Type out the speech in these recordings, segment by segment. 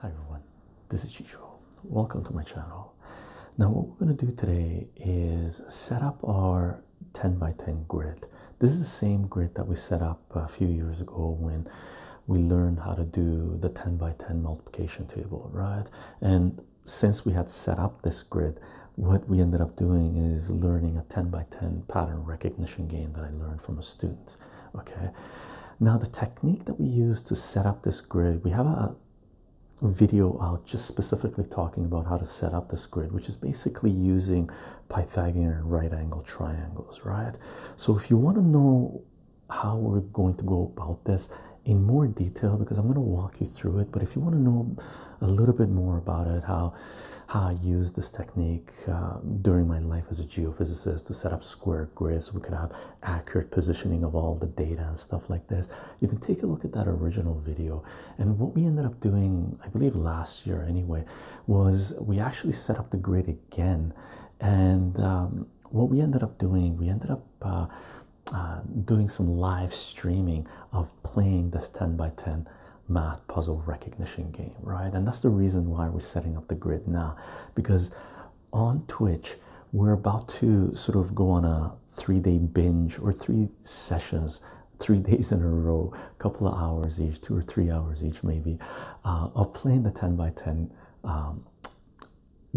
Hi everyone, this is Chicho. Welcome to my channel. Now what we're going to do today is set up our 10 by 10 grid. This is the same grid that we set up a few years ago when we learned how to do the 10 by 10 multiplication table, right? And since we had set up this grid, what we ended up doing is learning a 10 by 10 pattern recognition game that I learned from a student. Okay, now the technique that we use to set up this grid, we have a video out just specifically talking about how to set up this grid, which is basically using Pythagorean right angle triangles, right? So if you want to know how we're going to go about this, in more detail because I'm going to walk you through it. But if you want to know a little bit more about it, how how I use this technique uh, during my life as a geophysicist to set up square grids, we could have accurate positioning of all the data and stuff like this. You can take a look at that original video. And what we ended up doing, I believe last year anyway, was we actually set up the grid again. And um, what we ended up doing, we ended up uh, uh, doing some live streaming of playing this 10 by 10 math puzzle recognition game, right? And that's the reason why we're setting up the grid now because on Twitch, we're about to sort of go on a three day binge or three sessions, three days in a row, a couple of hours each, two or three hours each, maybe, uh, of playing the 10 by 10 um,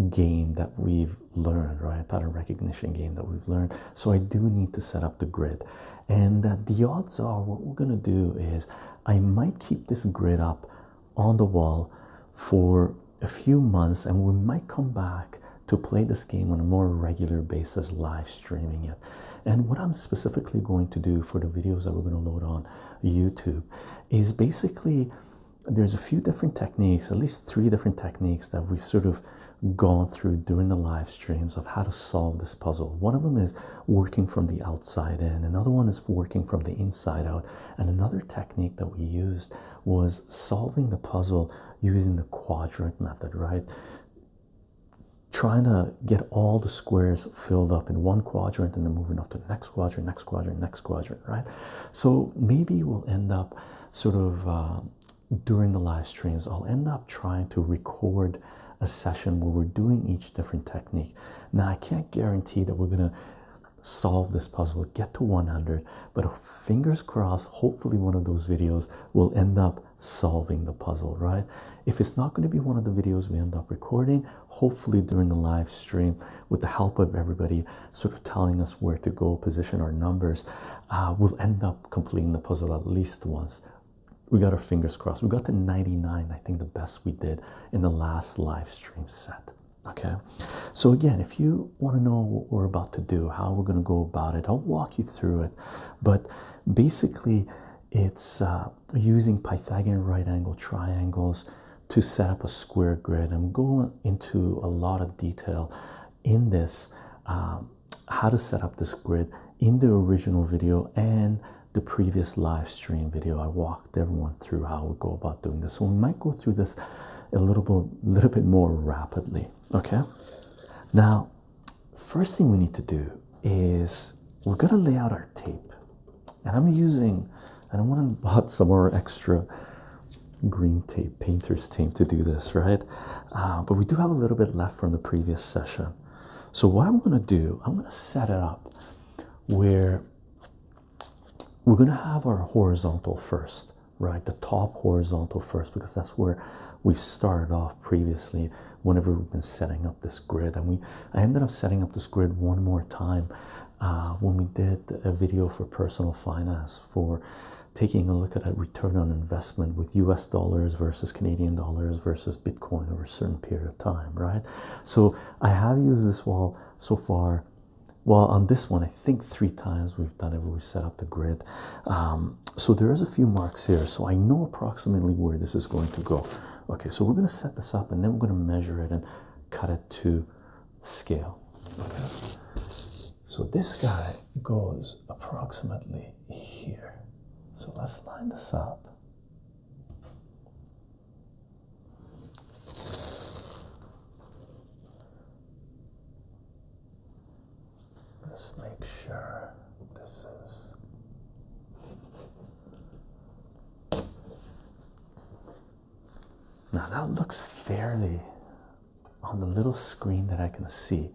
game that we've learned, right? Pattern recognition game that we've learned. So I do need to set up the grid. And uh, the odds are what we're going to do is I might keep this grid up on the wall for a few months and we might come back to play this game on a more regular basis, live streaming it. And what I'm specifically going to do for the videos that we're going to load on YouTube is basically there's a few different techniques, at least three different techniques that we've sort of gone through during the live streams of how to solve this puzzle. One of them is working from the outside in, another one is working from the inside out, and another technique that we used was solving the puzzle using the quadrant method, right? Trying to get all the squares filled up in one quadrant and then moving up to the next quadrant, next quadrant, next quadrant right? So maybe we'll end up sort of uh, during the live streams, I'll end up trying to record a session where we're doing each different technique. Now, I can't guarantee that we're going to solve this puzzle, get to 100, but fingers crossed, hopefully, one of those videos will end up solving the puzzle, right? If it's not going to be one of the videos we end up recording, hopefully, during the live stream, with the help of everybody, sort of telling us where to go, position our numbers, uh, we'll end up completing the puzzle at least once. We got our fingers crossed. We got to 99, I think the best we did in the last live stream set. Okay, so again, if you want to know what we're about to do, how we're going to go about it, I'll walk you through it. But basically, it's uh, using Pythagorean right angle triangles to set up a square grid. I'm going into a lot of detail in this um, how to set up this grid in the original video and the previous live stream video. I walked everyone through how we go about doing this. So we might go through this a little bit, a little bit more rapidly. Okay. Now, first thing we need to do is we're gonna lay out our tape, and I'm using, and I went and bought some more extra green tape, painter's tape to do this, right? Uh, but we do have a little bit left from the previous session. So, what I'm going to do, I'm going to set it up where we're going to have our horizontal first, right? The top horizontal first, because that's where we've started off previously whenever we've been setting up this grid. And we, I ended up setting up this grid one more time uh, when we did a video for personal finance for taking a look at a return on investment with US dollars versus Canadian dollars versus Bitcoin over a certain period of time, right? So I have used this wall so far. Well, on this one, I think three times we've done it where we set up the grid. Um, so there is a few marks here. So I know approximately where this is going to go. Okay, so we're going to set this up and then we're going to measure it and cut it to scale. So this guy goes approximately here. So let's line this up. Let's make sure this is. Now that looks fairly on the little screen that I can see.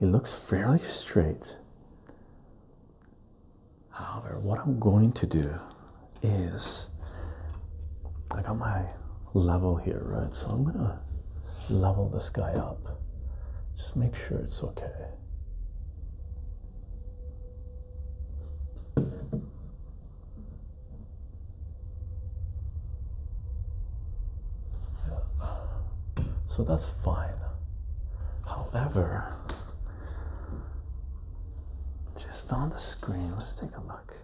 It looks fairly straight. However, what I'm going to do is I got my level here, right? So I'm gonna level this guy up. Just make sure it's okay. So that's fine. However, just on the screen, let's take a look.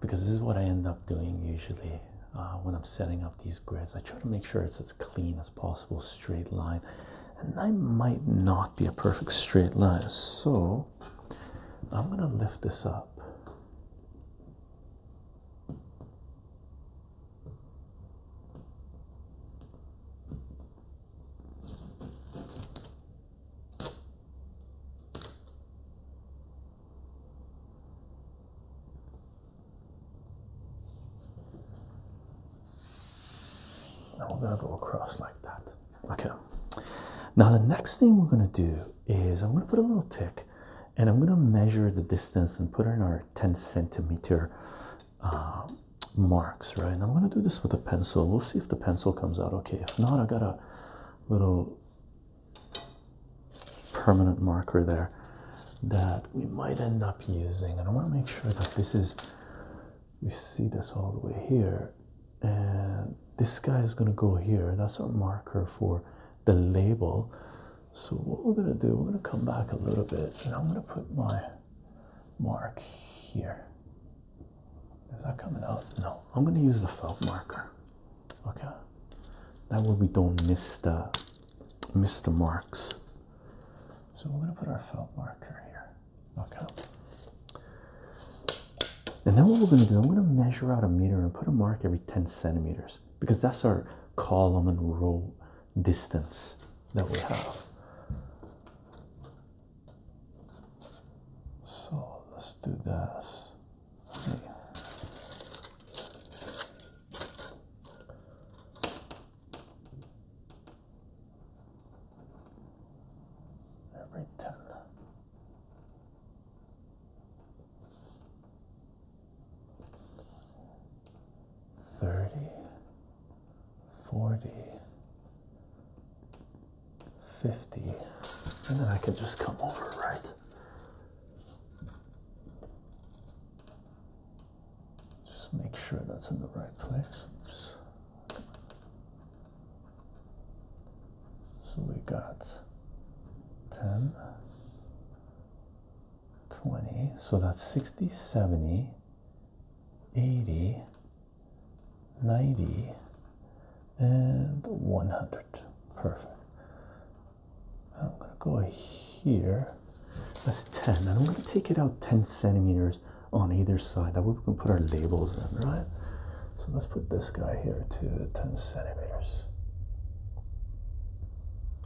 Because this is what I end up doing usually uh, when I'm setting up these grids. I try to make sure it's as clean as possible, straight line. And that might not be a perfect straight line. So I'm going to lift this up. Now we're going to go across like that. Okay, now the next thing we're going to do is I'm going to put a little tick and I'm going to measure the distance and put in our 10 centimeter uh, marks, right? And I'm going to do this with a pencil. We'll see if the pencil comes out okay. If not, I got a little permanent marker there that we might end up using. And I want to make sure that this is, we see this all the way here and this guy is going to go here. That's our marker for the label. So what we're going to do, we're going to come back a little bit, and I'm going to put my mark here. Is that coming out? No. I'm going to use the felt marker. Okay. That way we don't miss the miss the marks. So we're going to put our felt marker here. Okay. And then what we're going to do, I'm going to measure out a meter and put a mark every 10 centimeters because that's our column and row distance that we have. So let's do this. Every 10 Thirty, forty, fifty, and then I can just come over, right? Just make sure that's in the right place. So we got 10, 20, so that's 60, 70, 80, 90, and 100. Perfect. I'm going to go here. That's 10, and I'm going to take it out 10 centimeters on either side. That way we can put our labels in, right? So let's put this guy here to 10 centimeters.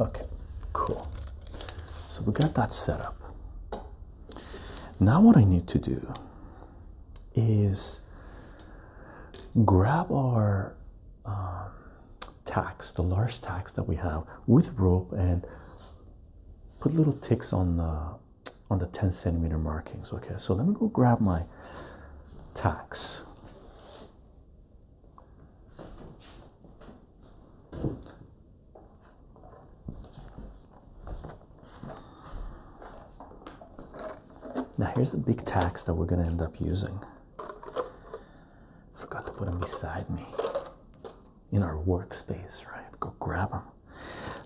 Okay, cool. So we got that set up. Now, what I need to do is grab our um, tax, the large tax that we have with rope, and put little ticks on the on the 10 centimeter markings. Okay, so let me go grab my tacks. Now here's the big tacks that we're going to end up using. Forgot to put them beside me in our workspace, right? Go grab them.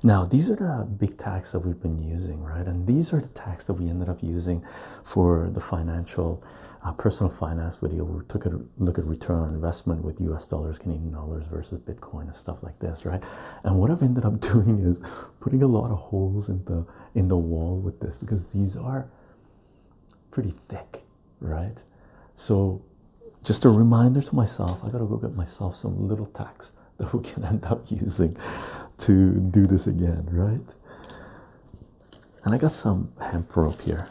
Now, these are the big tags that we've been using, right? And these are the tags that we ended up using for the financial, uh, personal finance video. We took a look at return on investment with US dollars, Canadian dollars versus Bitcoin and stuff like this, right? And what I've ended up doing is putting a lot of holes in the in the wall with this because these are pretty thick, right? So just a reminder to myself, I gotta go get myself some little tags that we can end up using to do this again, right? And I got some hemp rope here.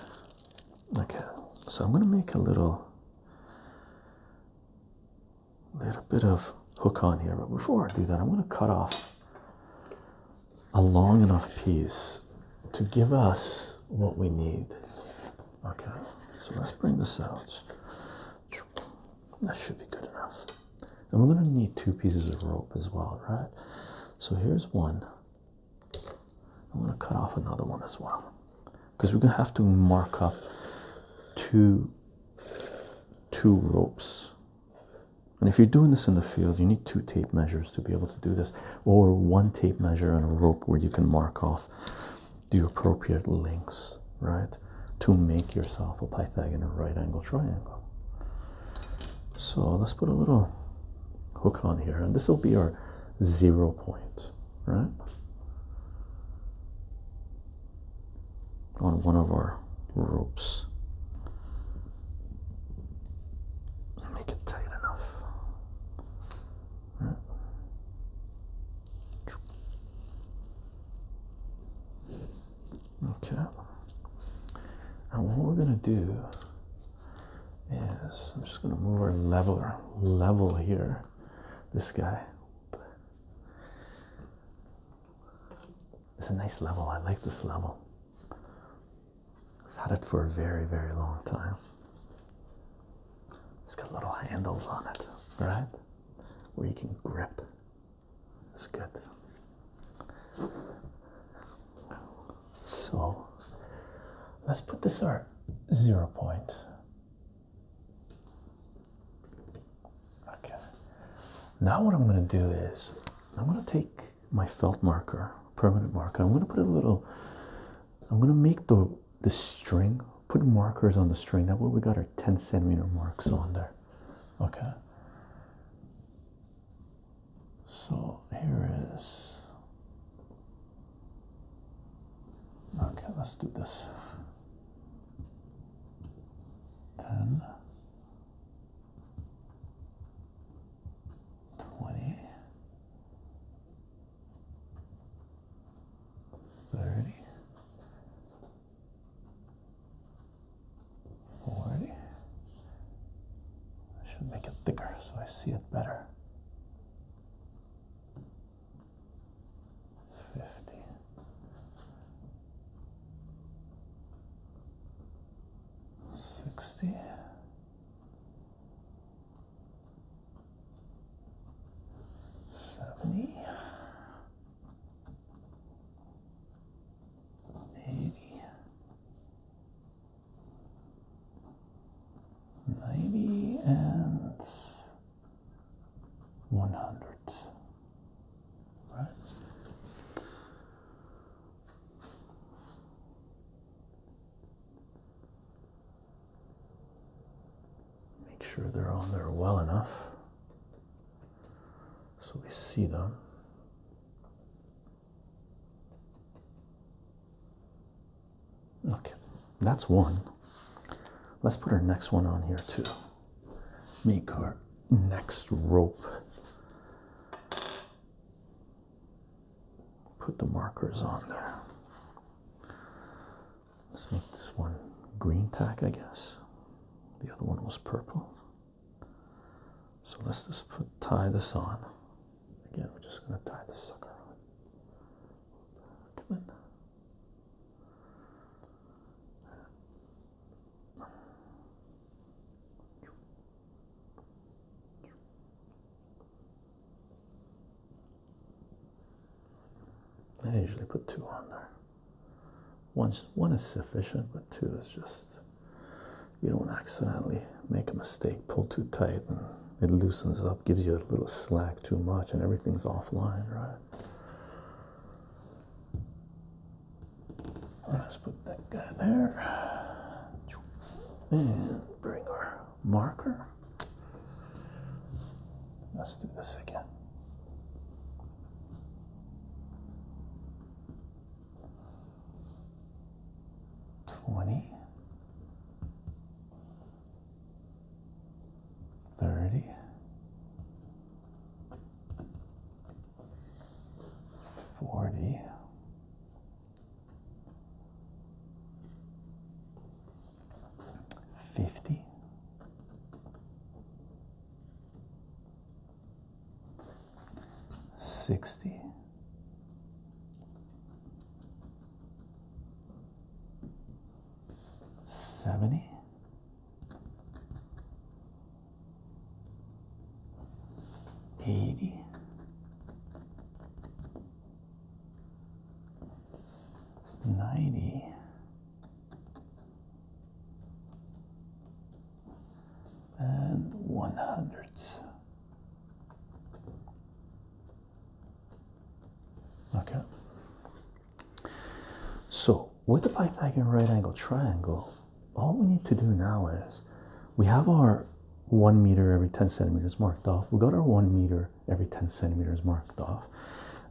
Okay, so I'm gonna make a little, little bit of hook on here, but before I do that, I'm gonna cut off a long enough piece to give us what we need. Okay, so let's bring this out. That should be good enough. And we're going to need two pieces of rope as well, right? So here's one. I'm going to cut off another one as well because we're going to have to mark up two, two ropes. And if you're doing this in the field, you need two tape measures to be able to do this, or one tape measure and a rope where you can mark off the appropriate lengths, right? to make yourself a Pythagorean right angle triangle. So let's put a little hook on here, and this will be our zero point, right? On one of our ropes. Make it tight enough. Okay. And what we're gonna do is I'm just gonna move our leveler level here. This guy. It's a nice level. I like this level. I've had it for a very, very long time. It's got little handles on it, right? Where you can grip. That's good. So let's put this our zero point. Okay. Now what I'm going to do is I'm going to take my felt marker, permanent marker. I'm going to put a little. I'm going to make the the string. Put markers on the string. That way we got our 10 centimeter marks on there okay so here is okay let's do this 10 40. I should make it thicker so I see it better. 50. Sixty. Seventy. Maybe. Ninety and one hundred. Right. Make sure they're on there well enough. So we see them. Okay, that's one. Let's put our next one on here too. Make our next rope. Put the markers on there. Let's make this one green tack, I guess. The other one was purple. So let's just put tie this on. Again, we're just gonna tie this sucker on. Come in. I usually put two on there. One's, one is sufficient, but two is just you don't accidentally make a mistake, pull too tight, and it loosens up, gives you a little slack too much, and everything's offline, right? Let's put that guy there and bring our marker. Let's do this again. Twenty. Thirty. Forty. Fifty. 60. Seventy, eighty, ninety, and one hundredths. Okay. So with the Pythagorean right angle triangle, all we need to do now is we have our one meter every 10 centimeters marked off. We got our one meter every 10 centimeters marked off.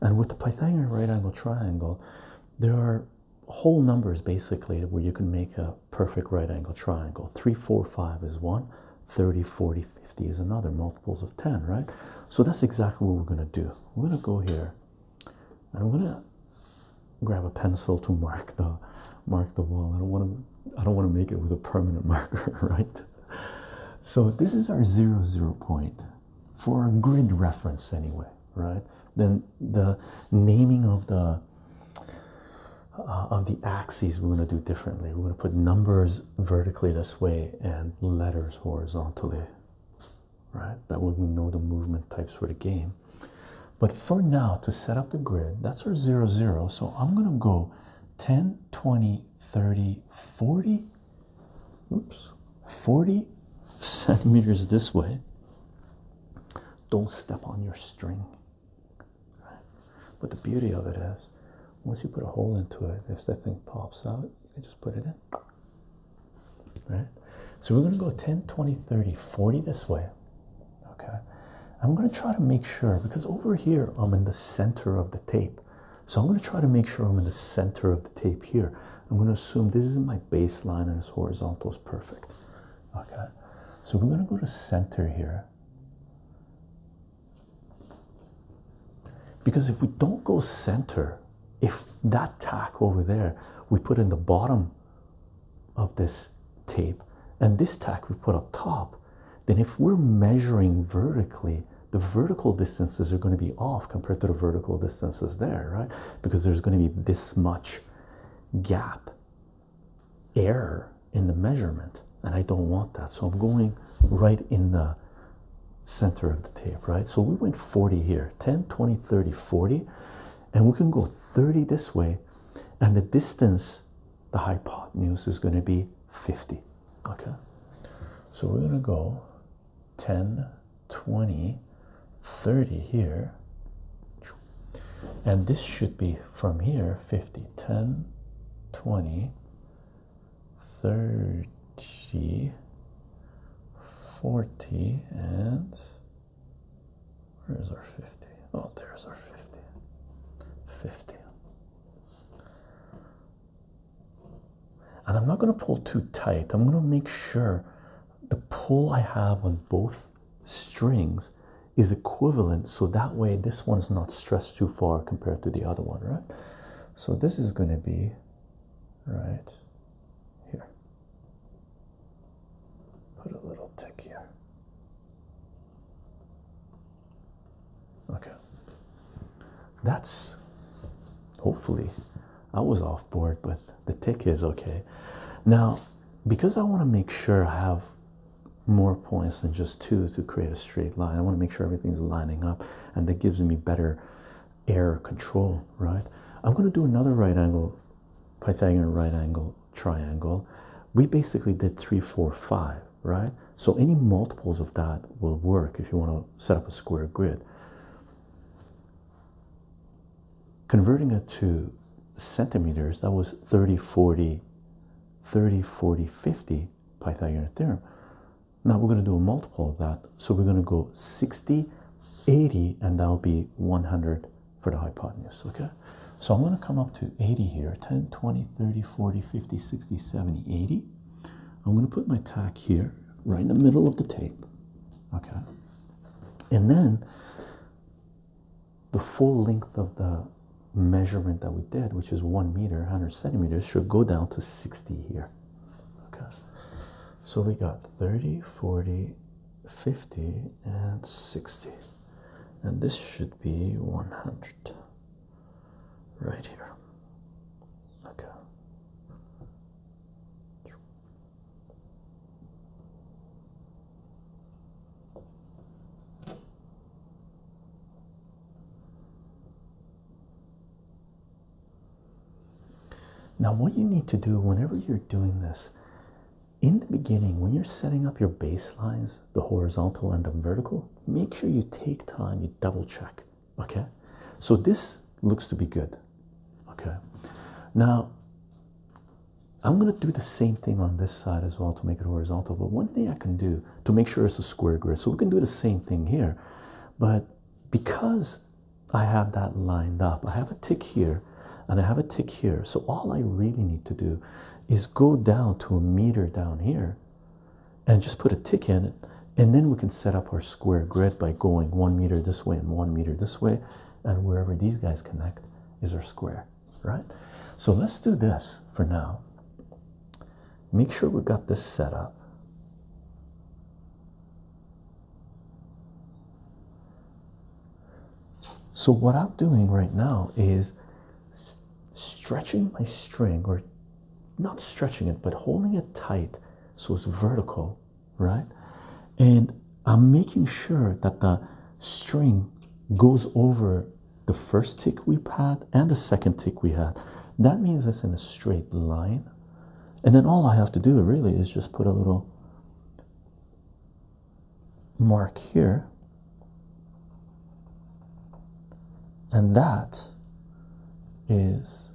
And with the Pythagorean right angle triangle, there are whole numbers basically where you can make a perfect right angle triangle. 3, 4, 5 is one, 30, 40, 50 is another, multiples of 10, right? So that's exactly what we're going to do. We're going to go here and I'm going to grab a pencil to mark the mark the wall. I don't want to I don't want to make it with a permanent marker, right? So this is our zero zero point for a grid reference anyway, right? Then the naming of the uh, of the axes we're going to do differently. We're going to put numbers vertically this way and letters horizontally, right? That way we know the movement types for the game. But for now, to set up the grid, that's our 0, 0. So I'm going to go 10, 20, 30, 40, oops, 40 centimeters this way, don't step on your string. But the beauty of it is, once you put a hole into it, if that thing pops out, you can just put it in. Right? So we're going to go 10, 20, 30, 40 this way. Okay. I'm going to try to make sure because over here I'm in the center of the tape. So I'm going to try to make sure I'm in the center of the tape here. I'm going to assume this is my baseline and it's horizontal is perfect. Okay, so we're going to go to center here. Because if we don't go center, if that tack over there we put in the bottom of this tape and this tack we put up top, then if we're measuring vertically, the vertical distances are going to be off compared to the vertical distances there, right? Because there's going to be this much gap error in the measurement and I don't want that so I'm going right in the center of the tape right so we went 40 here 10 20 30 40 and we can go 30 this way and the distance the hypotenuse is going to be 50 okay so we're going to go 10 20 30 here and this should be from here 50 10 20 30 40 and where's our 50 oh there's our 50 50 and I'm not going to pull too tight I'm going to make sure the pull I have on both strings is equivalent so that way this one is not stressed too far compared to the other one, right? So this is going to be right here. Put a little tick here. Okay. That's hopefully I was off board with the tick is okay now because I want to make sure I have more points than just two to create a straight line I want to make sure everything's lining up and that gives me better air control right I'm going to do another right angle Pythagorean right angle triangle we basically did three four five right so any multiples of that will work if you want to set up a square grid converting it to centimeters, that was 30, 40, 30, 40, 50 Pythagorean theorem. Now we're going to do a multiple of that. So we're going to go 60, 80, and that'll be 100 for the hypotenuse, okay? So I'm going to come up to 80 here, 10, 20, 30, 40, 50, 60, 70, 80. I'm going to put my tack here, right in the middle of the tape, okay? And then the full length of the measurement that we did, which is one meter, 100 centimeters, should go down to 60 here. Okay, so we got 30, 40, 50, and 60, and this should be 100 right here. Okay, now, what you need to do whenever you're doing this in the beginning, when you're setting up your baselines, the horizontal and the vertical, make sure you take time, you double check. Okay, so this looks to be good. Okay, now I'm going to do the same thing on this side as well to make it horizontal. But one thing I can do to make sure it's a square grid, so we can do the same thing here. But because I have that lined up, I have a tick here and I have a tick here. So all I really need to do is go down to a meter down here and just put a tick in it. And then we can set up our square grid by going one meter this way and one meter this way and wherever these guys connect is our square, right? So let's do this for now. Make sure we've got this set up. So, what I'm doing right now is stretching my string, or not stretching it, but holding it tight so it's vertical right? And I'm making sure that the string goes over the first tick we had and the second tick we had. That means it's in a straight line. And then all I have to do really is just put a little mark here. And that is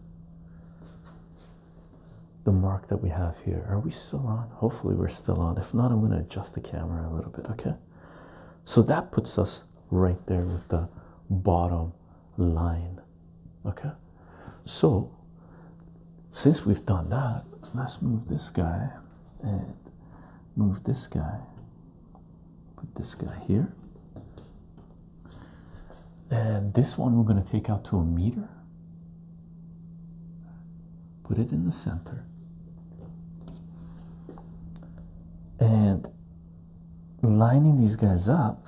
the mark that we have here. Are we still on? Hopefully, we're still on. If not, I'm going to adjust the camera a little bit, okay? So that puts us right there with the bottom line, okay? So, since we've done that, let's move this guy and move this guy, put this guy here. And this one we're going to take out to a meter put it in the center and lining these guys up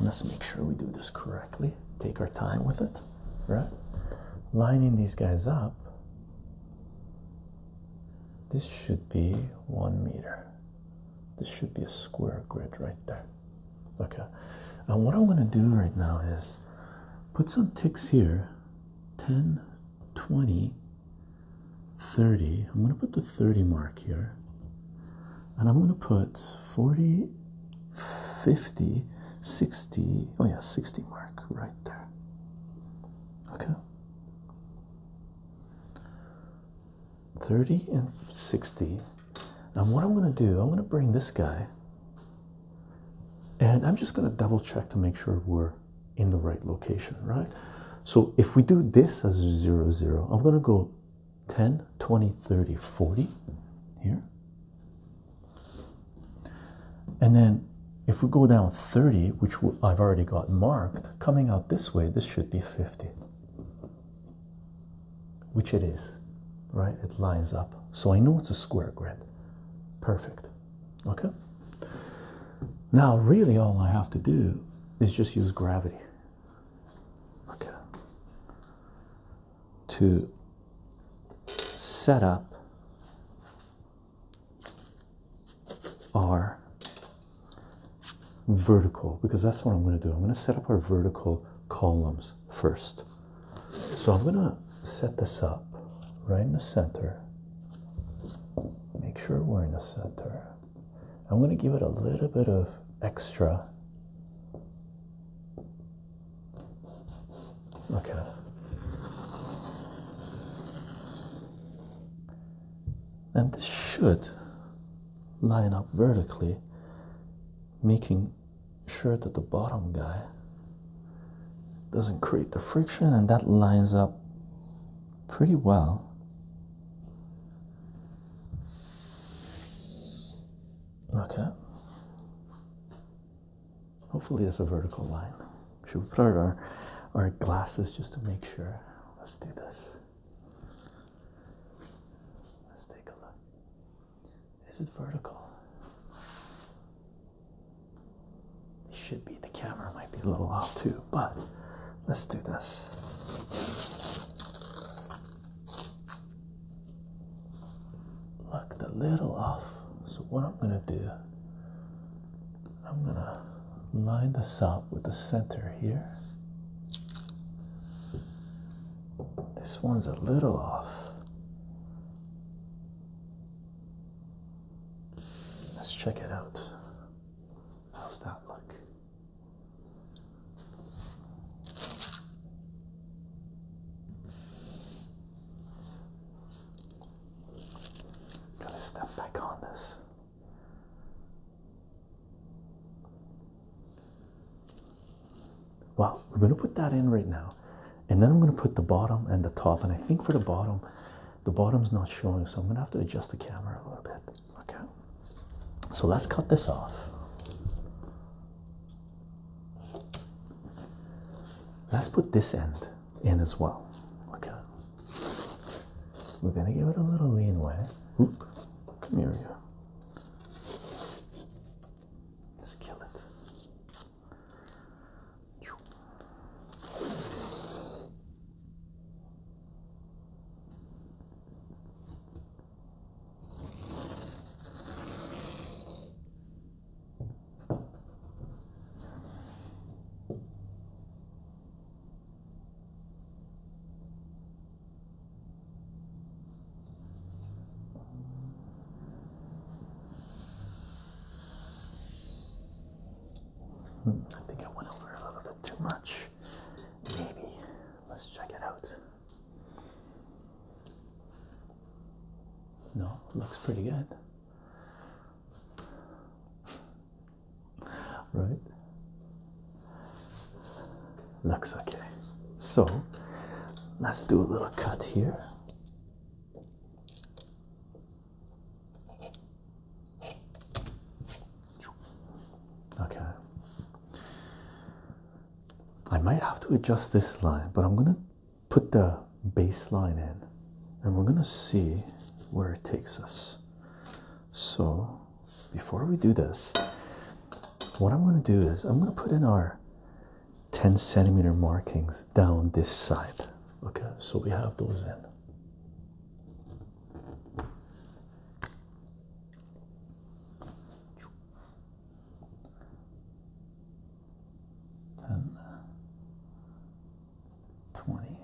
let's make sure we do this correctly take our time with it right lining these guys up this should be one meter this should be a square grid right there Okay, and what i want to do right now is put some ticks here 10, 20, 30. I'm going to put the 30 mark here, and I'm going to put 40, 50, 60. Oh, yeah, 60 mark right there. Okay. 30 and 60 now what I'm going to do, I'm going to bring this guy and I'm just going to double check to make sure we're in the right location, right? So if we do this as 0, 0, I'm going to go 10, 20, 30, 40 here. And then if we go down 30, which I've already got marked, coming out this way, this should be 50 which it is, right? It lines up. So I know it's a square grid. Perfect. Okay? Now, really, all I have to do is just use gravity. Okay. To set up our vertical, because that's what I'm going to do. I'm going to set up our vertical columns first. So I'm going to set this up right in the center. Make sure we're in the center. I'm going to give it a little bit of extra. Okay. And this should line up vertically, making Sure that the bottom guy doesn't create the friction and that lines up pretty well okay hopefully there's a vertical line should we put out our, our glasses just to make sure let's do this let's take a look is it vertical? It should be. The camera might be a little off too, but let's do this. Looked a little off. So, what I'm going to do, I'm going to line this up with the center here. This one's a little off. Let's check it out. How's that look? Gotta step back on this. Well, we're going to put that in right now, and then I'm going to put the bottom and the top. And I think for the bottom, the bottom's not showing, so I'm going to have to adjust the camera a little bit. Okay, so let's cut this off. Let's put this end in as well. Okay, we're going to give it a little lean way. Oop, here we Let's kill it. I think I went over a little bit too much. Maybe. Let's check it out. No, looks pretty good. Right? Looks okay. So let's do a little cut here. Okay. I might have to adjust this line, but I'm going to put the baseline in and we're going to see where it takes us. So, before we do this, what I'm going to do is I'm going to put in our 10 centimeter markings down this side. Okay, so we have those in. Ten, twenty,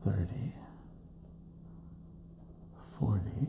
thirty, forty.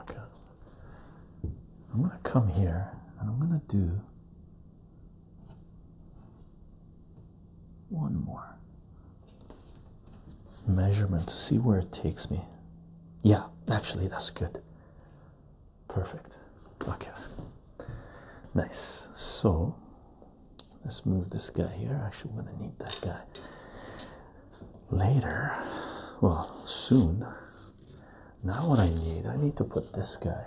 Okay. I'm going to come here and I'm going to do one more measurement to see where it takes me. Yeah, actually, that's good. Perfect. Okay. Nice. So let's move this guy here. Actually, we're going to need that guy later, well, soon. Now, what I need, I need to put this guy,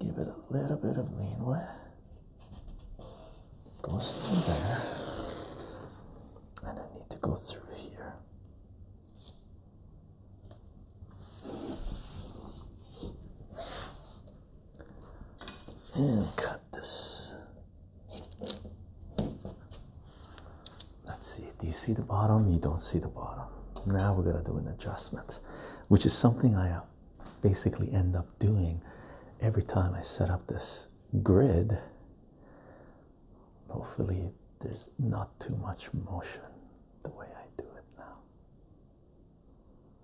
give it a little bit of leanway, goes through there, and I need to go through here. And cut this. Let's see. Do you see the bottom? You don't see the bottom. Now we're going to do an adjustment, which is something I uh, basically end up doing every time I set up this grid. Hopefully, there's not too much motion the way I do it now.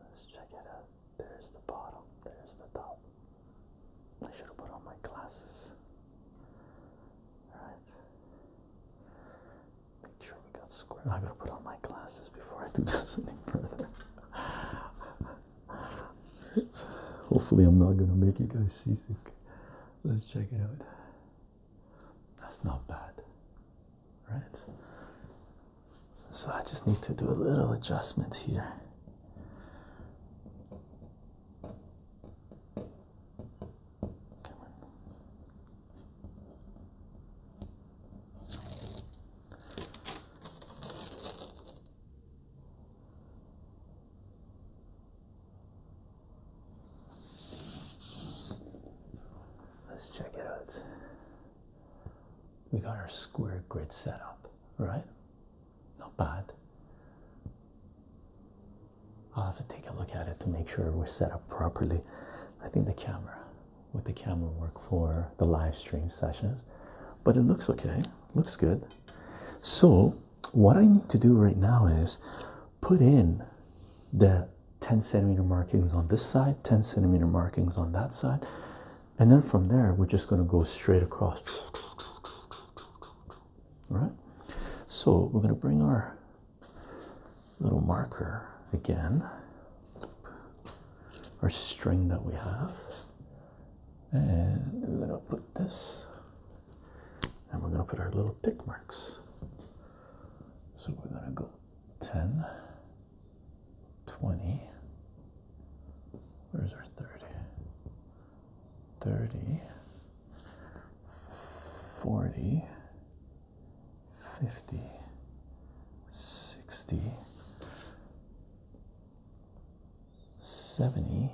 Let's check it out. There's the bottom, there's the top. I should have put on my glasses. Alright. Make sure we got squared. I gotta put on my glasses before I do this any further. right. Hopefully, I'm not gonna make you guys seasick. Let's check it out. That's not bad, right? So I just need to do a little adjustment here. Let's check it out. We got our square grid set up, right? Not bad. I'll have to take a look at it to make sure we're set up properly. I think the camera, with the camera work for the live stream sessions, but it looks okay, looks good. So, what I need to do right now is put in the 10 centimeter markings on this side, 10 centimeter markings on that side, and then from there, we're just going to go straight across right? So we're going to bring our little marker again, our string that we have, and we're going to put this, and we're going to put our little tick marks. So we're going to go 10, 20, where's our 30? 30, 40, 50, 60, 70,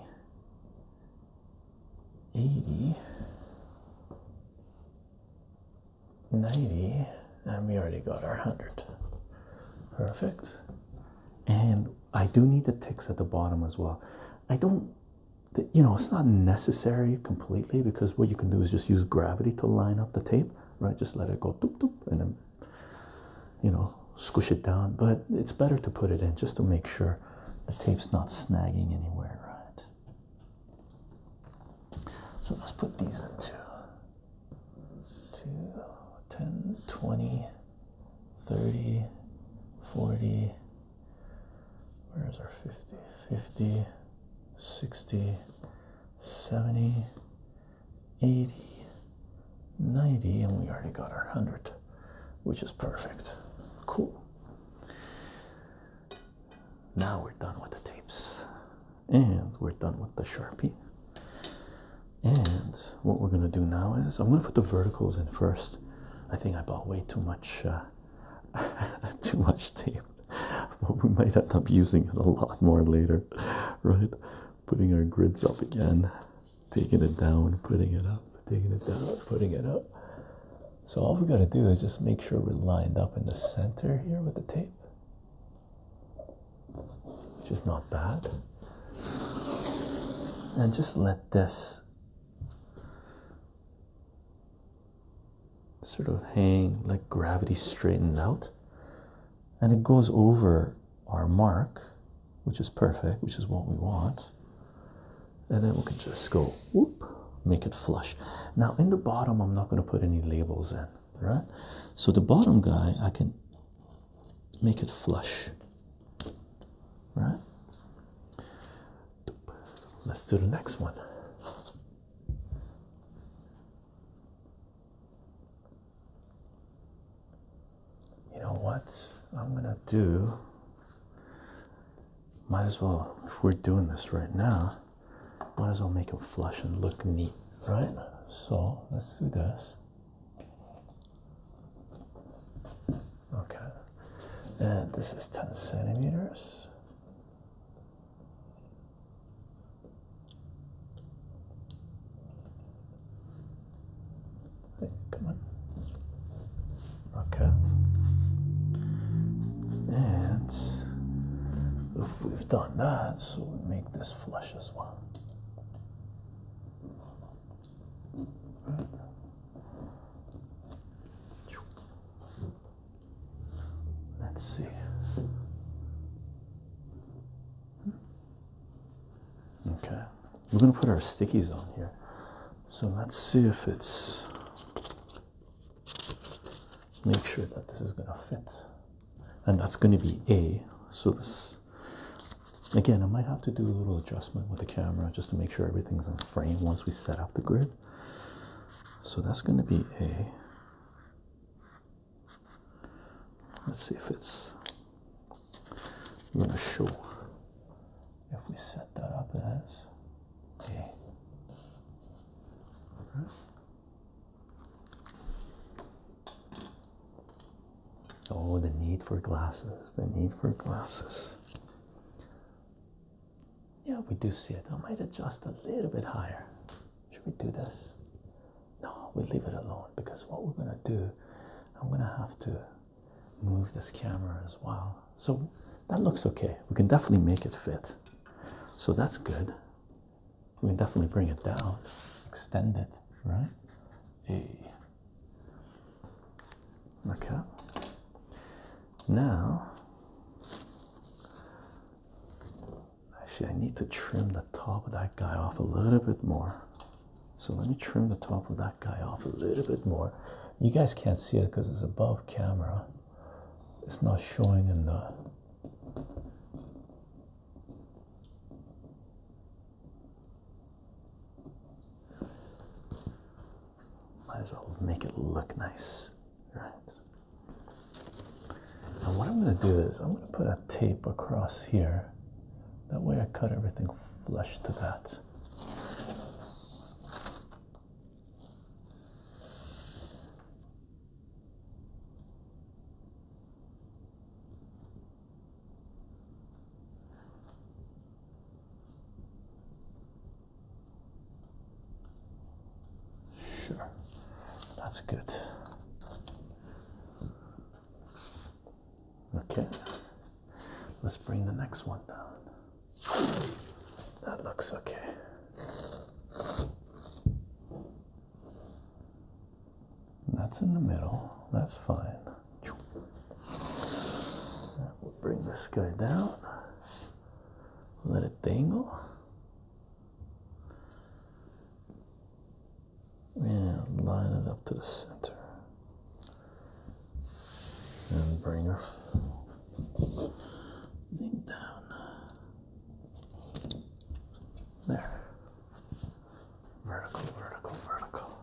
80, 90, and we already got our 100. Perfect. And I do need the ticks at the bottom as well. I don't, you know, it's not necessary completely because what you can do is just use gravity to line up the tape, right? Just let it go doop doop and then, you know, squish it down. But it's better to put it in just to make sure the tape's not snagging anywhere, right? So let's put these into two, 10, 20. 30, 40, where's our 50, 50, 60, 70, 80, 90, and we already got our 100, which is perfect. Cool. Now we're done with the tapes and we're done with the Sharpie. And what we're gonna do now is I'm gonna put the verticals in first. I think I bought way too much, uh, too much tape. But we might end up using it a lot more later, right? Putting our grids up again, taking it down, putting it up, taking it down, putting it up. So all we gotta do is just make sure we're lined up in the center here with the tape, which is not bad. And just let this sort of hang like gravity straightened out and it goes over our mark which is perfect which is what we want and then we can just go whoop make it flush now in the bottom i'm not going to put any labels in right so the bottom guy i can make it flush. Right? Let's do the next one. You know what? I'm gonna do. Might as well, if we're doing this right now, might as well make them flush and look neat, right? So let's do this. Okay, and this is 10 centimeters. Hey, come on. Okay. And if we've done that, so we make this flush as well. Let's see. Okay, we're gonna put our stickies on here. So let's see if it's make sure that this is gonna fit. And that's gonna be A. So this Again, I might have to do a little adjustment with the camera just to make sure everything's in frame once we set up the grid. So that's going to be a, let's see if it's I'm going to show if we set that up as a, okay. Oh, the need for glasses, the need for glasses. Yeah, we do see it. I might adjust a little bit higher. Should we do this? No, we leave it alone because what we're going to do, I'm going to have to move this camera as well. So that looks okay. We can definitely make it fit. So that's good. We can definitely bring it down, extend it, right? Hey. Okay. Now, actually, I need to trim the top of that guy off a little bit more. So let me trim the top of that guy off a little bit more. You guys can't see it because it's above camera. It's not showing in the might as well make it look nice, right? Now what I'm going to do is I'm going to put a tape across here. That way I cut everything flush to that. Sure, that's good. Okay, let's bring the next one down. That looks okay. That's in the middle, that's fine. We'll bring this guy down. Let it dangle. And line it up to the center. And bring her down. There. Vertical, vertical, vertical.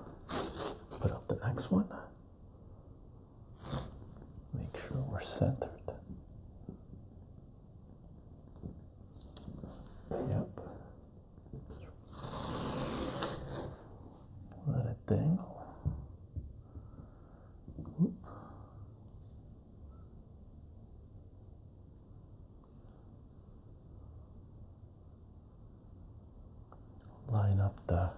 Put up the next one. Make sure we're centered. Yep. Let it dangle. Oop line up the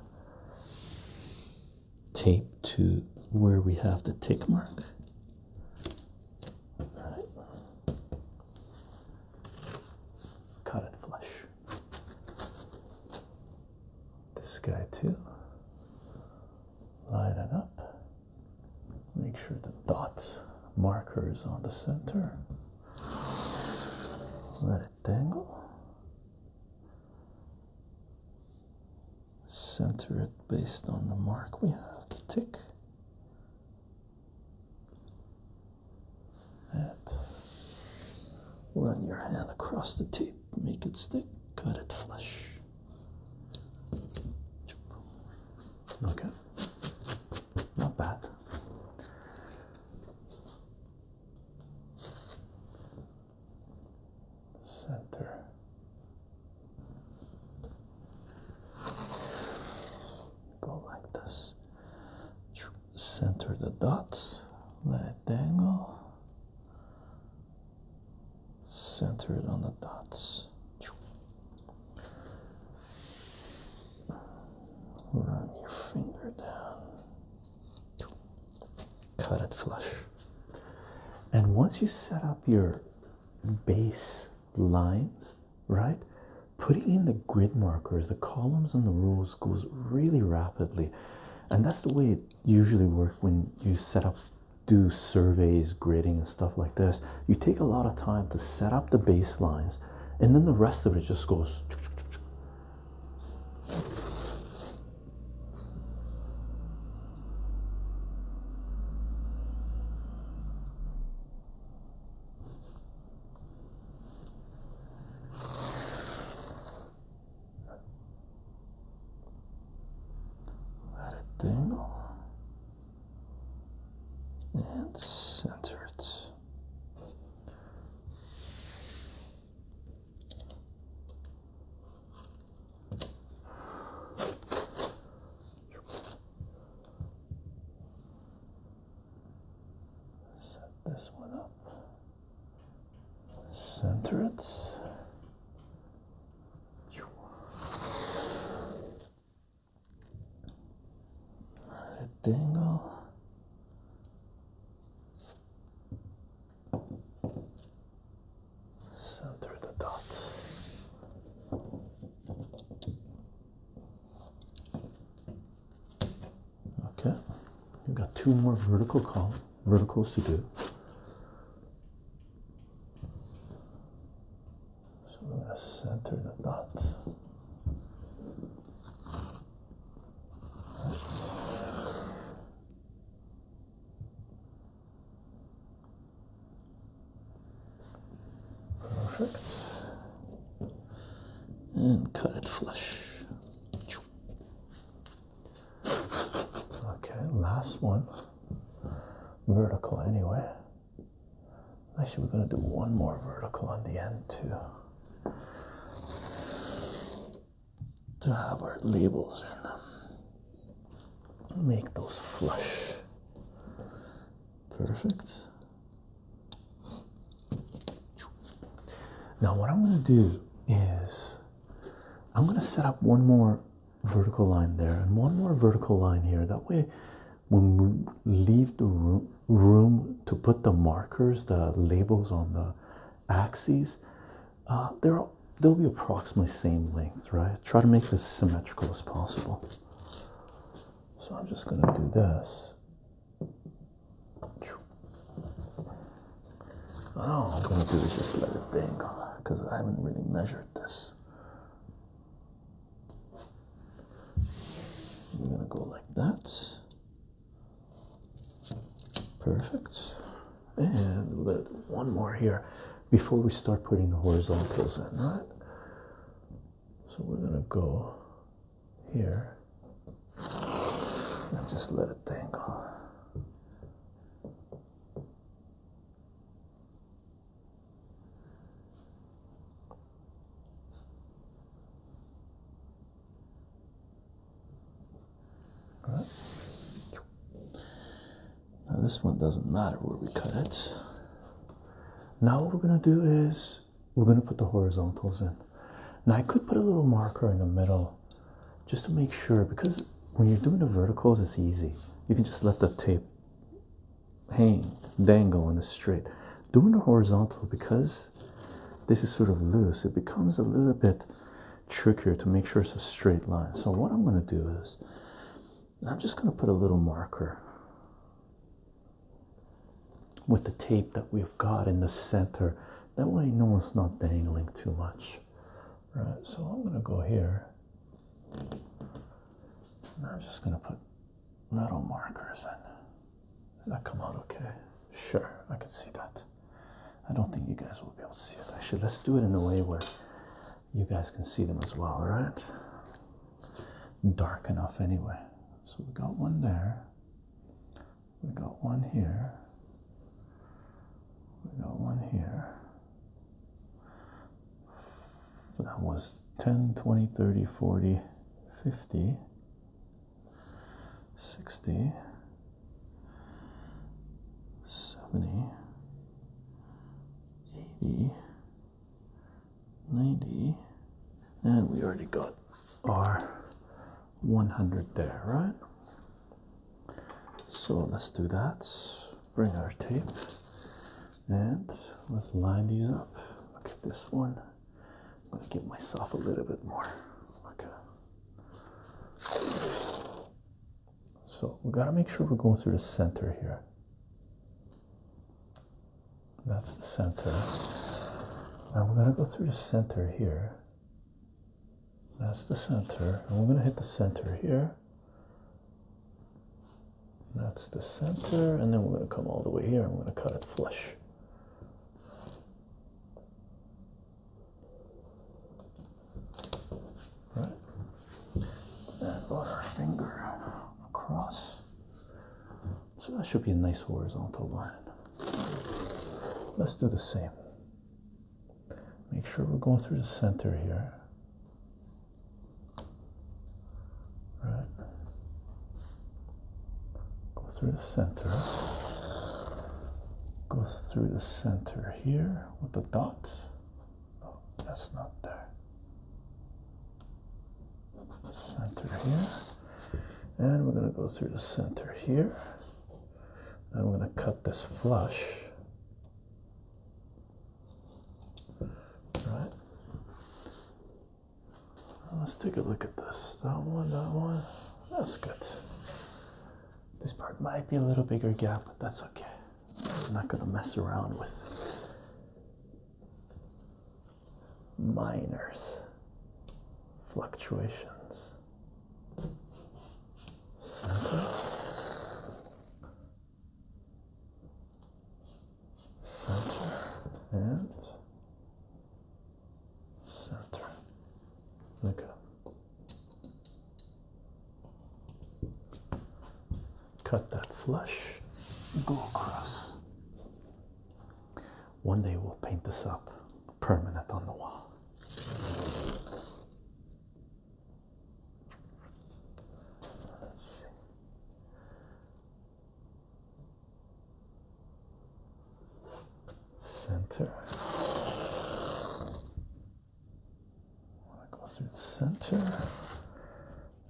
tape to where we have the tick mark. Cut it flush. This guy too. Line it up. Make sure the dot marker is on the center. Let Angle. center it based on the mark we have to tick. And run your hand across the tape, make it stick, cut it flush. Okay, not bad center. Go like this. Center the dots. let it dangle. Center it on the dots. Run your finger down cut it flush. And once you set up your base lines, right, putting in the grid markers, the columns and the rows goes really rapidly. And that's the way it usually works when you set up, do surveys, grading, and stuff like this. You take a lot of time to set up the base lines, and then the rest of it just goes let it dangle and center it. Set this one up. Center it. Let it dangle. Center the dots. Okay, we have got two more vertical column verticals to do. So I'm going to center the dots. Perfect. And cut it flush. Okay, last one. Vertical, anyway. Actually, we're going to do one more vertical on the end, too to have our labels in them. Make those flush. Perfect. Now, what I'm going to do is I'm going to set up one more vertical line there and one more vertical line here. That way, when we leave the room, room to put the markers, the labels on the axes, uh, they're they'll be approximately same length, right? Try to make this symmetrical as possible. So I'm just going to do this. I'm going to do this just let it dangle because I haven't really measured this. I'm going to go like that. Perfect. And we one more here before we start putting the horizontals in, right? So we're gonna go here and just let it dangle. Now, this one doesn't matter where we cut it. Now, what we're going to do is we're going to put the horizontals in. Now, I could put a little marker in the middle just to make sure because when you're doing the verticals, it's easy. You can just let the tape hang, dangle, and it's straight. Doing the horizontal because this is sort of loose, it becomes a little bit Trickier to make sure it's a straight line. So what I'm going to do is I'm just going to put a little marker with the tape that we've got in the center. That way no one's not dangling too much. Right, so I'm going to go here. And I'm just going to put little markers in. Does that come out okay? Sure, I can see that. I don't think you guys will be able to see it. Actually, let's do it in a way where you guys can see them as well, all right? Dark enough anyway. So we got one there. We got one here. We got one here. that was 10, 20, 30, 40, 50. 60 70 80 90 and we already got our 100 there right so let's do that bring our tape and let's line these up look at this one i'm going to give myself a little bit more okay so we gotta make sure we're going through the center here. That's the center. And we're gonna go through the center here. That's the center. And we're gonna hit the center here. That's the center. And then we're gonna come all the way here. I'm gonna cut it flush. Right? And run our finger across. So that should be a nice horizontal line. Let's do the same. Make sure we're going through the center here. Right. Go through the center goes through the center here with the dot. Oh, that's not there. Center here. And we're going to go through the center here. Then we're going to cut this flush. Right. Let's take a look at this. That one, that one. That's good. This part might be a little bigger gap, but that's okay. I'm not going to mess around with minors fluctuations. Center. Center and center. Okay. Cut that flush. Go across. One day we'll paint this up permanent on the wall. Let's see center. I want to go through the center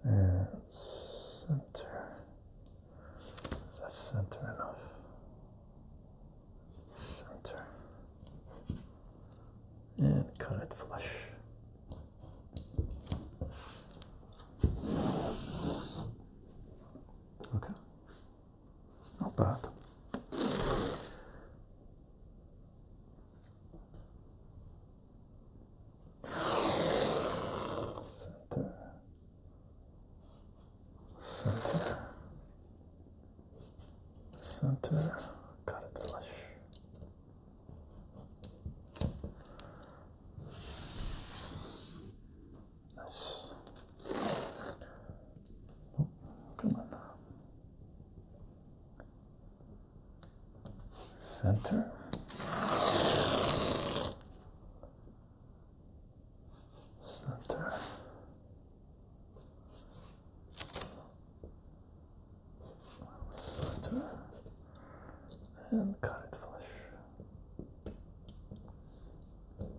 and center. That's center enough. Center and cut it flush. Okay. Not bad. Center. Center. Center. Got it flush. Nice come on Center. Center. Center. And cut it flush.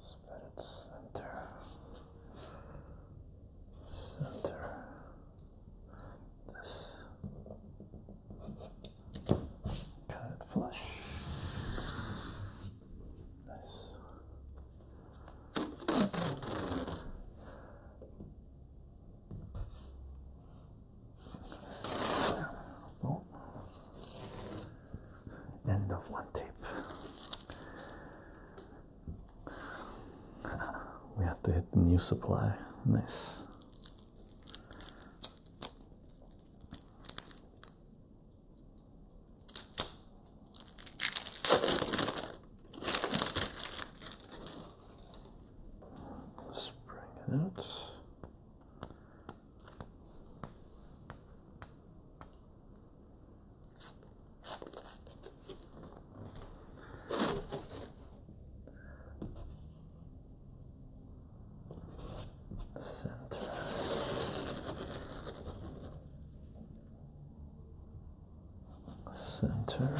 Spread it center, center. This cut it flush. Nice. End of one tape. We have to hit the new supply. Nice. let it out. Center. Center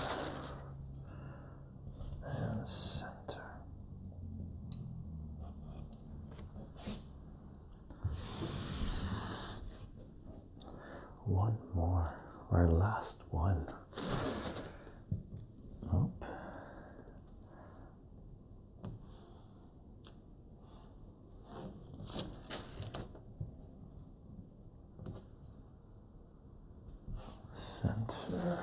and center. One more, our last one. Nope. Center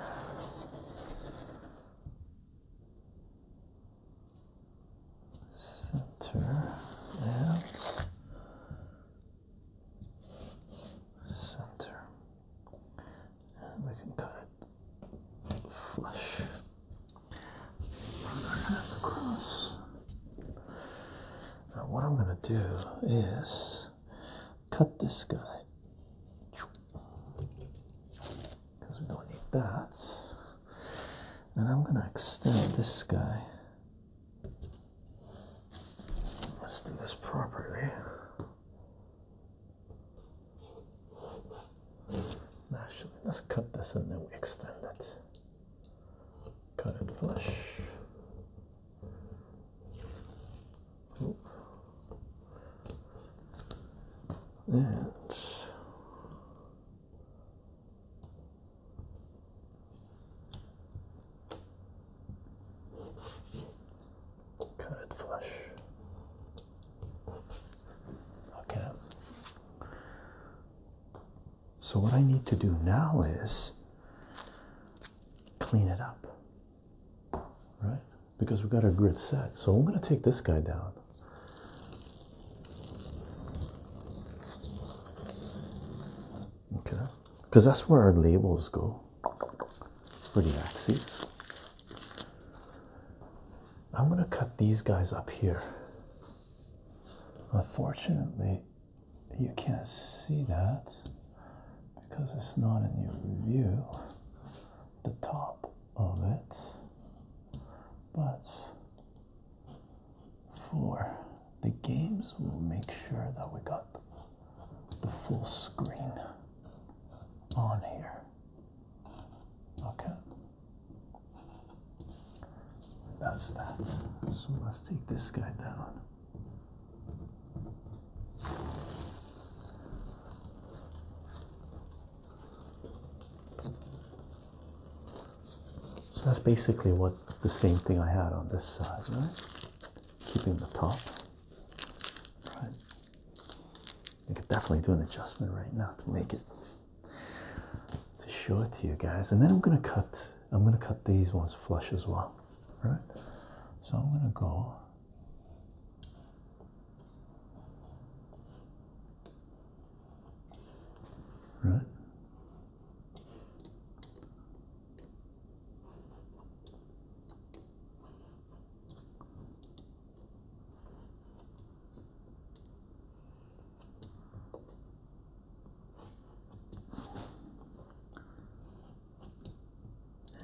center and center, and we can cut it flush. Now, what I'm going to do is cut this guy because we don't need that and I'm gonna extend this guy. Let's do this properly. Actually, let's cut this and then we extend it. Cut it flush. Oop. Cut it flush. Okay. So, what I need to do now is clean it up, right? Because we've got our grid set. So, I'm going to take this guy down. Okay, because that's where our labels go for the axes. I'm going to cut these guys up here. Unfortunately, you can't see that because it's not in your view, the top of it. But for the games, we'll make sure that we got the full screen on here. Okay. That's that. So let's take this guy down. So that's basically what the same thing I had on this side, right? Keeping the top. Right. I could definitely do an adjustment right now to make it to show it to you guys. And then I'm gonna cut I'm gonna cut these ones flush as well. Right? So I'm gonna go right?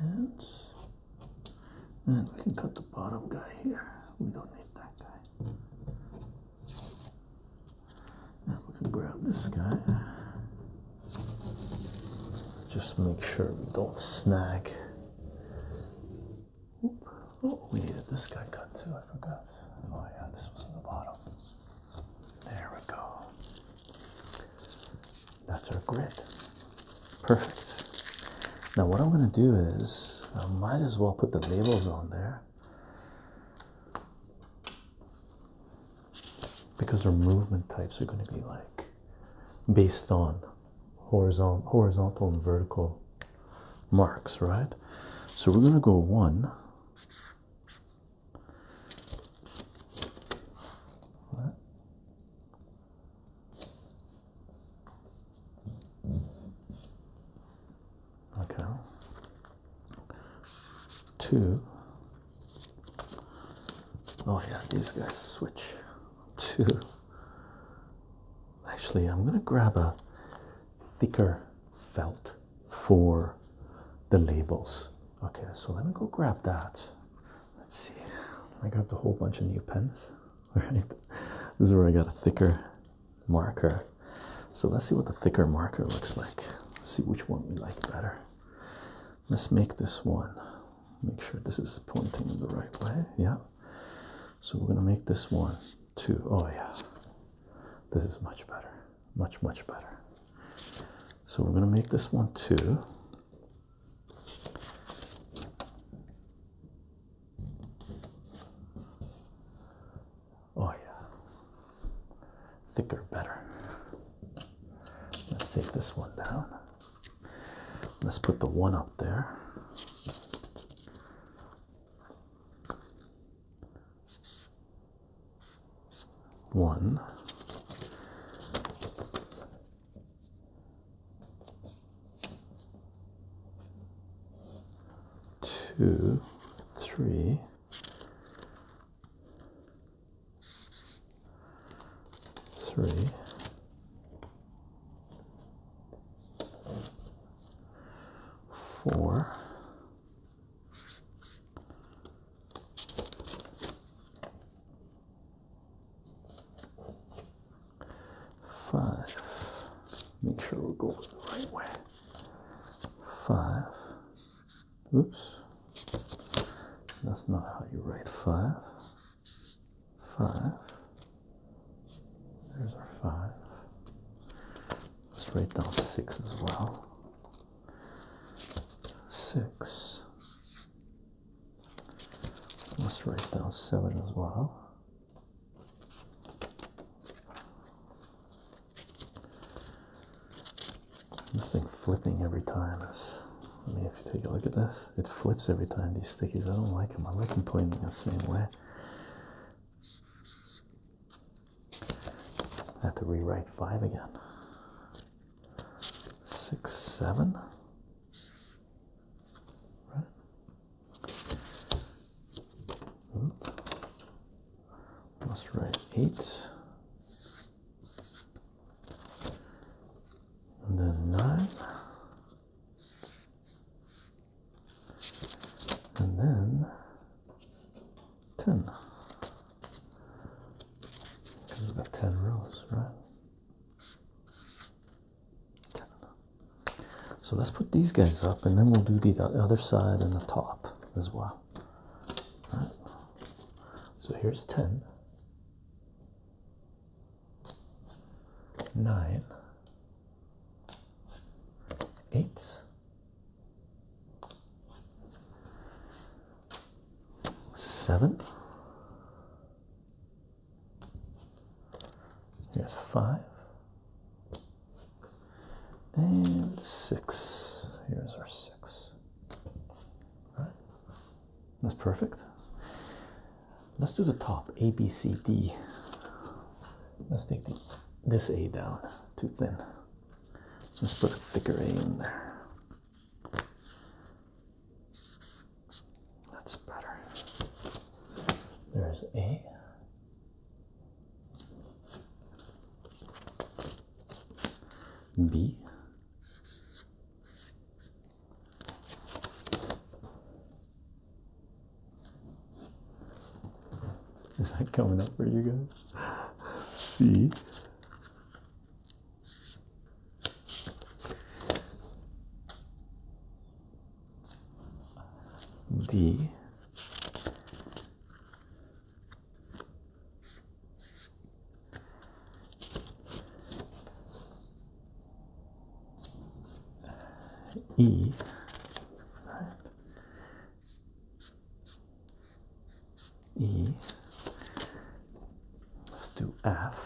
And, and we can cut the bottom guy here. We don't need that guy. And we can grab this guy. Just make sure we don't snag. Oh, we needed this guy cut too, I forgot. Oh yeah, this was in the bottom. There we go. That's our grid. Perfect. Now what I'm gonna do is I might as well put the labels on there because our movement types are going to be like based on horizontal and vertical marks right so we're going to go one okay, two. Oh, yeah, these guys switch Two. actually, I'm gonna grab a thicker felt for the labels. Okay, so let me go grab that. Let's see, I grabbed a whole bunch of new pens. All right, this is where I got a thicker marker. So let's see what the thicker marker looks like. see which one we like better. Let's make this one. Make sure this is pointing in the right way. Yeah. So we're gonna make this one too. Oh yeah. This is much better. Much, much better. So we're gonna make this one too. Oh, yeah. Thicker, better. Let's take this one down. Let's put the one up there. One two, three, three, four, five, make sure we go the right way. Five. Oops. That's not how you write five. Five. There's our five. Let's write down six as well. Six. Let's write down seven as well. This thing flipping every time is. I mean, if you take a look at this, it flips every time. These stickies, I don't like them. I like them pointing the same way. I have to rewrite five again. Six, seven. Right. Let's write 8. And then 9. And then 10. Because we've got 10 rows, right? 10. So let's put these guys up and then we'll do the other side and the top as well. So here's 10, 9, 8, 7, here's 5 and six. Here's our six. All right. That's perfect. Let's do the top A, B, C, D. Let's take this A down, too thin. Let's put a thicker A in there. That's better. There's A. B is that coming up for you guys? C D E. E. Let's do F.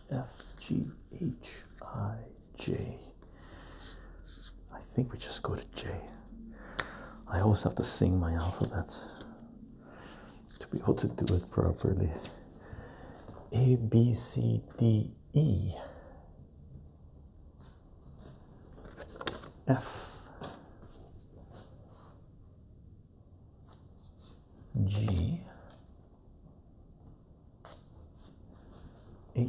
F, G, H, I, J. I think we just go to J. I always have to sing my alphabet to be able to do it properly. A, B, C, D, E, F, G, H.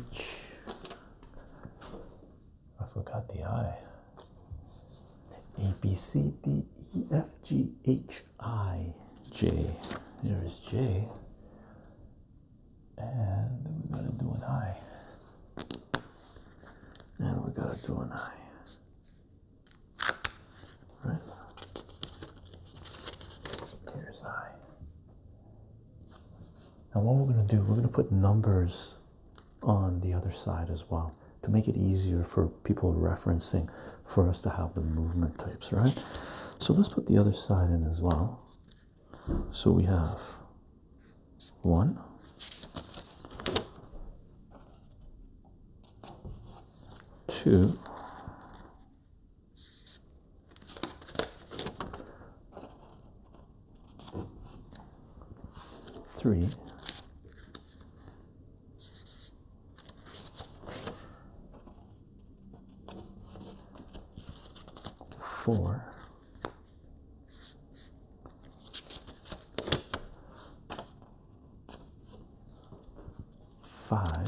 I forgot the I. A B C D E F G H I J. There's J. And then we gotta do an I. And we gotta do an I. Right. Here's I. And what we're going to do, we're going to put numbers on the other side as well to make it easier for people referencing for us to have the movement types, right? So let's put the other side in as well. So we have one, two, Three, four, five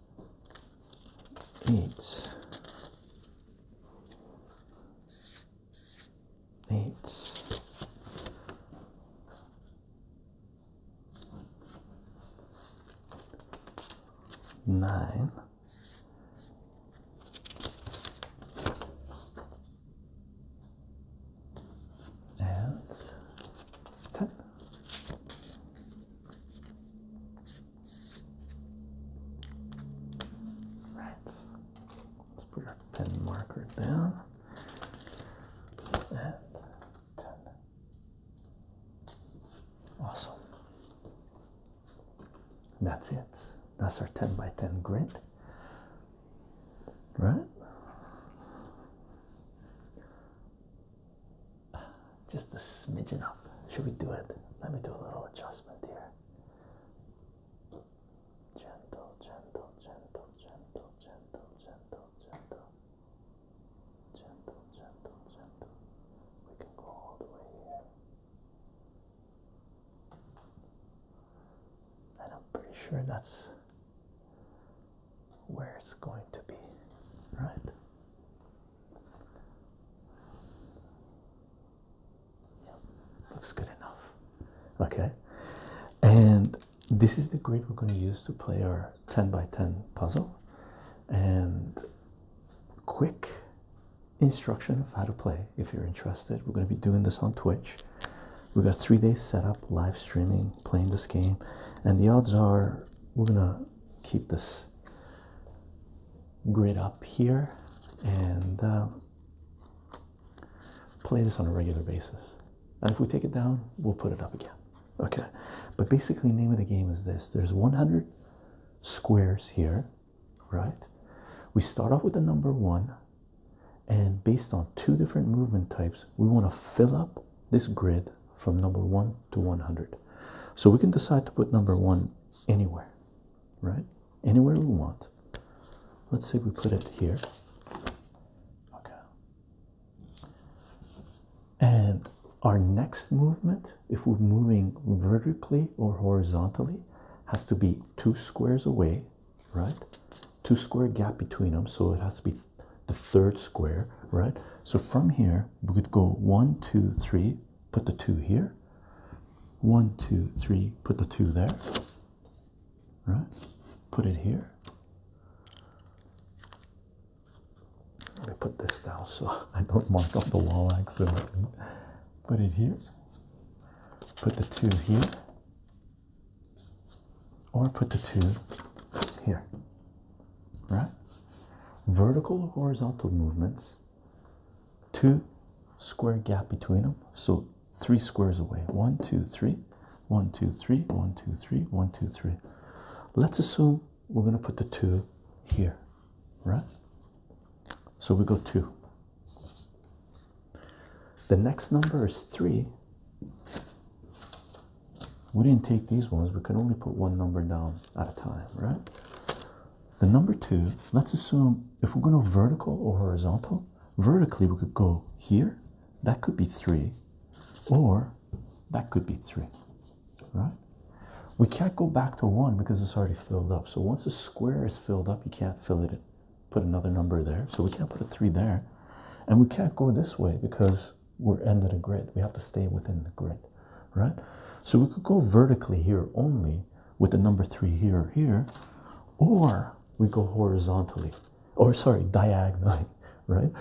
eight, eight, nine. And ten. Right. Let's put our pen marker down at 10. Awesome. That's it. That's our 10 by 10 grid. Right? just a smidgen up. Should we do it? Let me do a little adjustment here. Gentle, gentle, gentle, gentle, gentle, gentle, gentle. Gentle, gentle, gentle. We can go all the way here. And I'm pretty sure that's where it's going to be, right? looks good enough. Okay, and this is the grid we're going to use to play our 10 by 10 puzzle. And quick instruction of how to play if you're interested. We're going to be doing this on Twitch. We've got three days set up, live streaming, playing this game, and the odds are we're going to keep this grid up here and um, play this on a regular basis. And if we take it down, we'll put it up again. Okay, but basically, name of the game is this: there's 100 squares here, right? We start off with the number one, and based on two different movement types, we want to fill up this grid from number 1 to 100. So we can decide to put number 1 anywhere, right? Anywhere we want. Let's say we put it here. Okay. And our next movement, if we're moving vertically or horizontally, has to be two squares away, right? Two square gap between them, so it has to be the third square, right? So from here, we could go one, two, three, put the two here. One, two, three, put the two there. Right? Put it here. Let me put this down so I don't mark up the wall accidentally. Put it here. Put the two here. Or put the two here. Right? Vertical horizontal movements two square gap between them so three squares away one two three one two three one two three one two three let's assume we're going to put the two here right so we go two the next number is three we didn't take these ones we can only put one number down at a time right the number two, let's assume if we're going vertical or horizontal, vertically we could go here, that could be three, or that could be three, right? We can't go back to one because it's already filled up. So once a square is filled up, you can't fill it Put another number there. So we can't put a three there. And we can't go this way because we're ended a grid. We have to stay within the grid right? So we could go vertically here only with the number three here or here, or we go horizontally, or sorry, diagonally, right?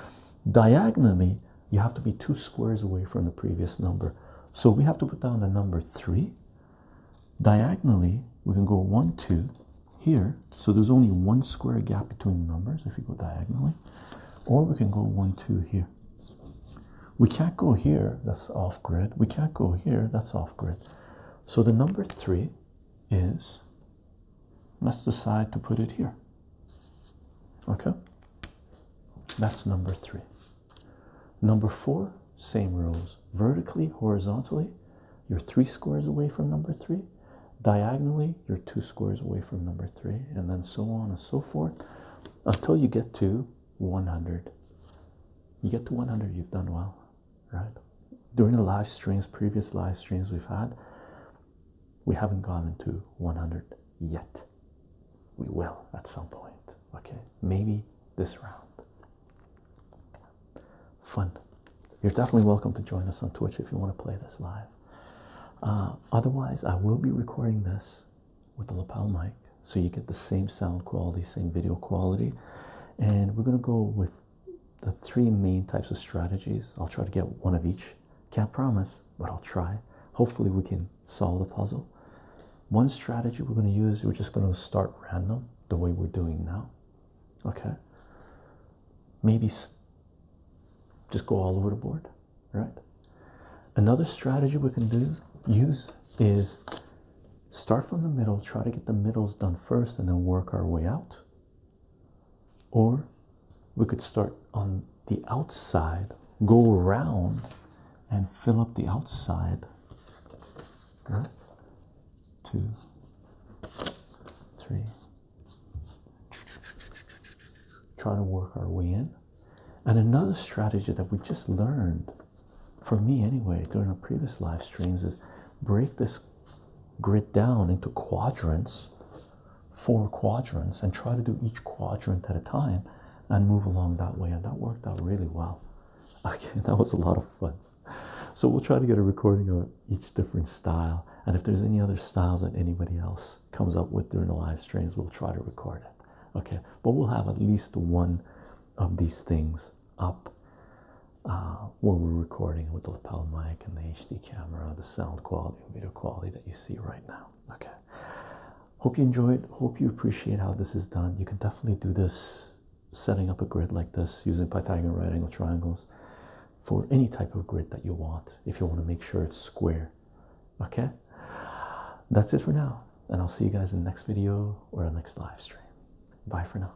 Diagonally, you have to be two squares away from the previous number. So we have to put down the number three. Diagonally, we can go one, two here. So there's only one square gap between the numbers if we go diagonally, or we can go one, two here. We can't go here, that's off grid. We can't go here, that's off grid. So the number three is let's decide to put it here. Okay, that's number three. Number four, same rules vertically, horizontally, you're three squares away from number three, diagonally, you're two squares away from number three, and then so on and so forth until you get to 100 you get to 100 you've done well right during the live streams previous live streams we've had we haven't gone into 100 yet we will at some point okay maybe this round fun you're definitely welcome to join us on twitch if you want to play this live uh, otherwise i will be recording this with the lapel mic so you get the same sound quality same video quality and we're going to go with the three main types of strategies i'll try to get one of each can't promise but i'll try hopefully we can solve the puzzle one strategy we're going to use we're just going to start random the way we're doing now okay maybe just go all over the board right? Another strategy we can do use is start from the middle, try to get the middles done first, and then work our way out. Or we could start on the outside, go around, and fill up the outside. Right? Try to work our way in. And another strategy that we just learned, for me anyway, during our previous live streams, is break this grid down into quadrants, four quadrants, and try to do each quadrant at a time and move along that way. And that worked out really well. Okay, that was a lot of fun. So we'll try to get a recording of each different style. And if there's any other styles that anybody else comes up with during the live streams, we'll try to record it okay but we'll have at least one of these things up uh, when we're recording with the lapel mic and the HD camera the sound quality video quality that you see right now okay hope you enjoyed hope you appreciate how this is done you can definitely do this setting up a grid like this using Pythagorean right angle triangles for any type of grid that you want if you want to make sure it's square Okay, that's it for now, and I'll see you guys in the next video or the next live stream. Bye for now.